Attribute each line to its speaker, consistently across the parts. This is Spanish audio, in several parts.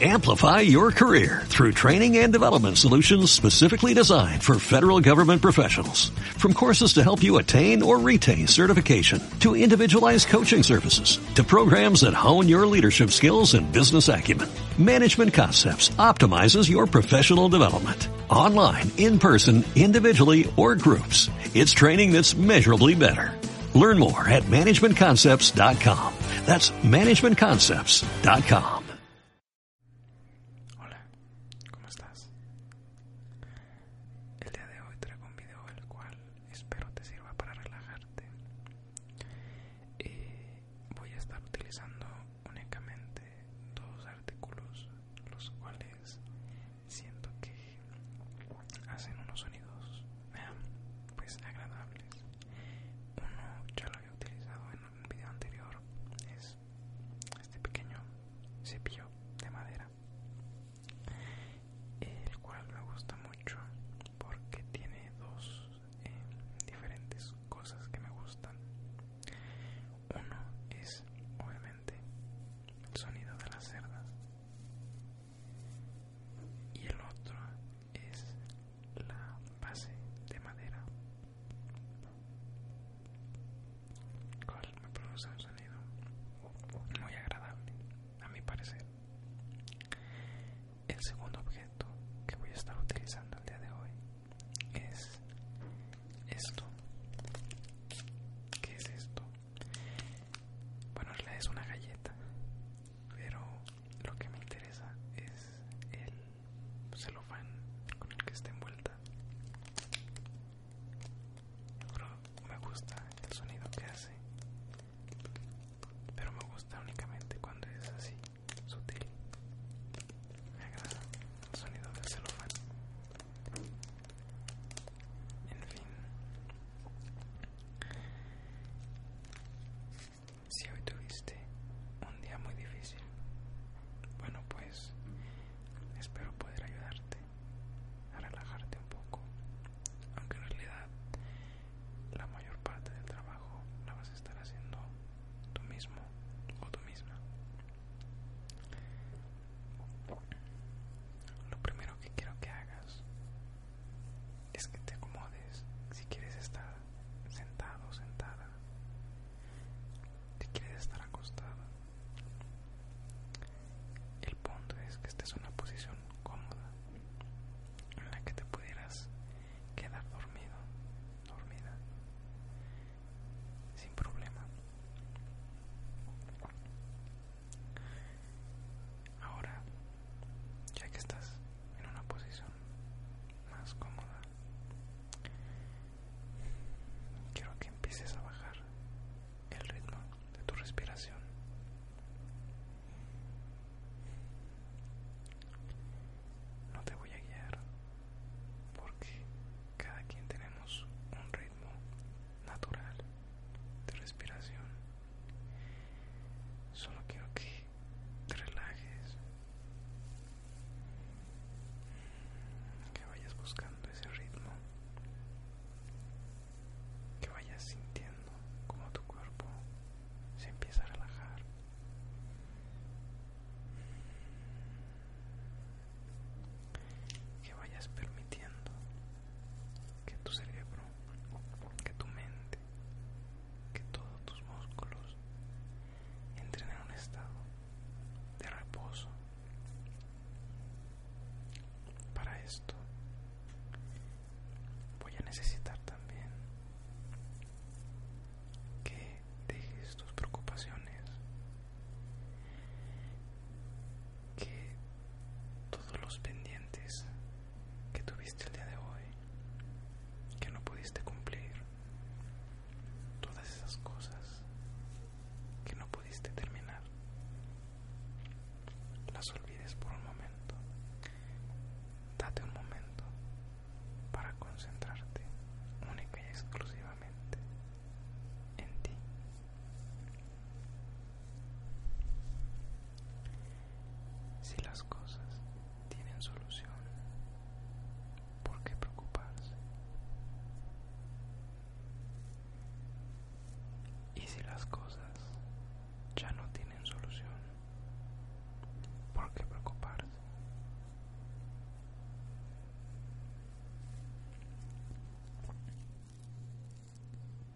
Speaker 1: Amplify your career through training and development solutions specifically designed for federal government professionals. From courses to help you attain or retain certification, to individualized coaching services, to programs that hone your leadership skills and business acumen, Management Concepts optimizes your professional development. Online, in person, individually, or groups. It's training that's measurably better. Learn more at managementconcepts.com. That's managementconcepts.com. Hola,
Speaker 2: ¿cómo estás? El día de hoy traigo un video el cual espero te sirva para relajarte. Eh, voy a estar utilizando únicamente dos artículos, los cuales siento que hacen unos sonidos pues agradables uno ya lo había utilizado en un video anterior es este pequeño cepillo de madera el cual me gusta mucho porque tiene dos eh, diferentes cosas que me gustan uno es obviamente el sonido de las cerdas y el otro es la base de madera cual me produce un sonido muy agradable a mi parecer el segundo objeto que voy a estar utilizando el día de hoy es esto ¿qué es esto? bueno es una galleta pero lo que me interesa es el celofán con el que está envuelta. me gusta el sonido que hace, pero me gusta únicamente cuando es así, sutil. Me agrada el sonido del celofán. En fin, si hoy tuviste un día muy difícil, bueno pues espero poder ayudarte a relajarte un poco, aunque en realidad la mayor parte del trabajo la vas a estar haciendo tú mismo o tú misma. Lo primero que quiero que hagas es que te acomodes si quieres estar sentado, sentada, si quieres estar acostada. El punto es que estés en una posición cómoda en la que te pudieras quedar dormido, dormida, sin problema. Ahora, ya que estás en una posición más cómoda, quiero que empieces a bajar el ritmo de tu respiración. No te voy a guiar porque cada quien tenemos un ritmo natural de respiración Solo quiero que te relajes, que vayas buscando ese ritmo, que vayas sintiendo como tu cuerpo se empieza a relajar. Que vayas permitiendo que tu cerebro, que tu mente, que todos tus músculos entren en un estado de reposo. Para esto voy a necesitar también que dejes tus preocupaciones, que todos los pendientes que tuviste el día de hoy que no pudiste cumplir, todas esas cosas que no pudiste terminar, las olvides por un momento. Date un momento para concentrarte única y exclusivamente en ti. Si las cosas tienen solución, ¿por qué preocuparse? Y si las cosas ya no tienen solución, ¿por qué preocuparse?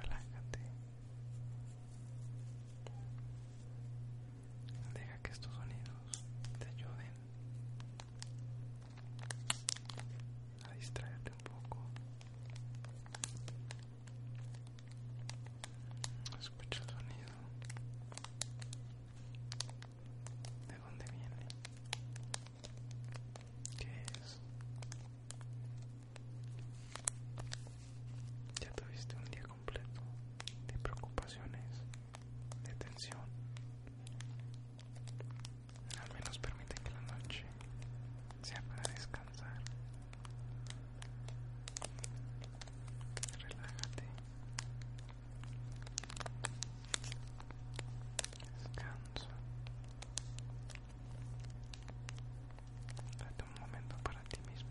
Speaker 2: Relájate. Deja que estos sonidos te ayuden a distraerte un poco. Escucha el sonido. ¿De dónde viene? ¿Qué es? Ya tuviste un día completo de preocupaciones, de tensión al menos permite que la noche sea para descansar. Relájate. Descansa. Date un momento para ti mismo.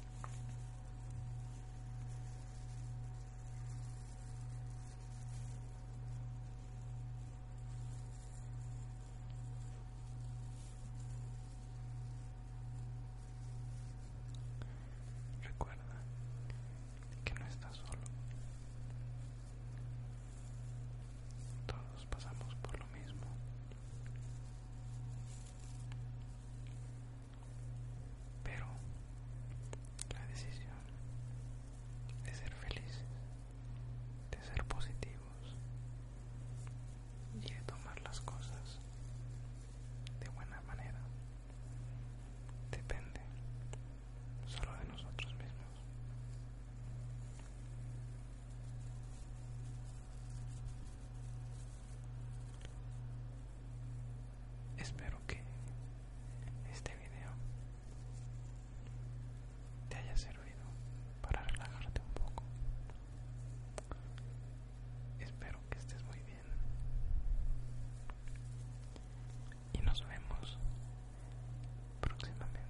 Speaker 2: Recuerda que no está solo. Todos pasamos por lo mismo. Pero la decisión de ser felices, de ser positivos y de tomar las cosas de buena manera depende solo de nosotros mismos. Espero que este video te haya servido para relajarte un poco. Espero que estés muy bien. Y nos vemos próximamente.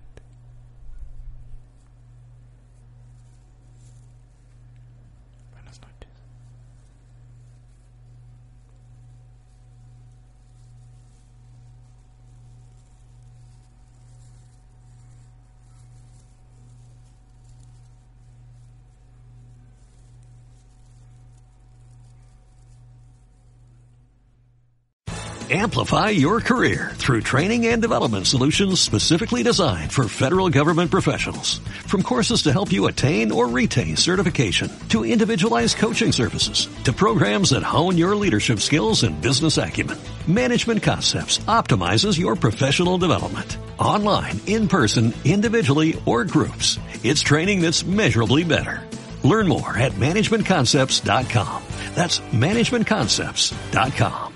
Speaker 1: Amplify your career through training and development solutions specifically designed for federal government professionals. From courses to help you attain or retain certification, to individualized coaching services, to programs that hone your leadership skills and business acumen, Management Concepts optimizes your professional development. Online, in person, individually, or groups. It's training that's measurably better. Learn more at managementconcepts.com. That's managementconcepts.com.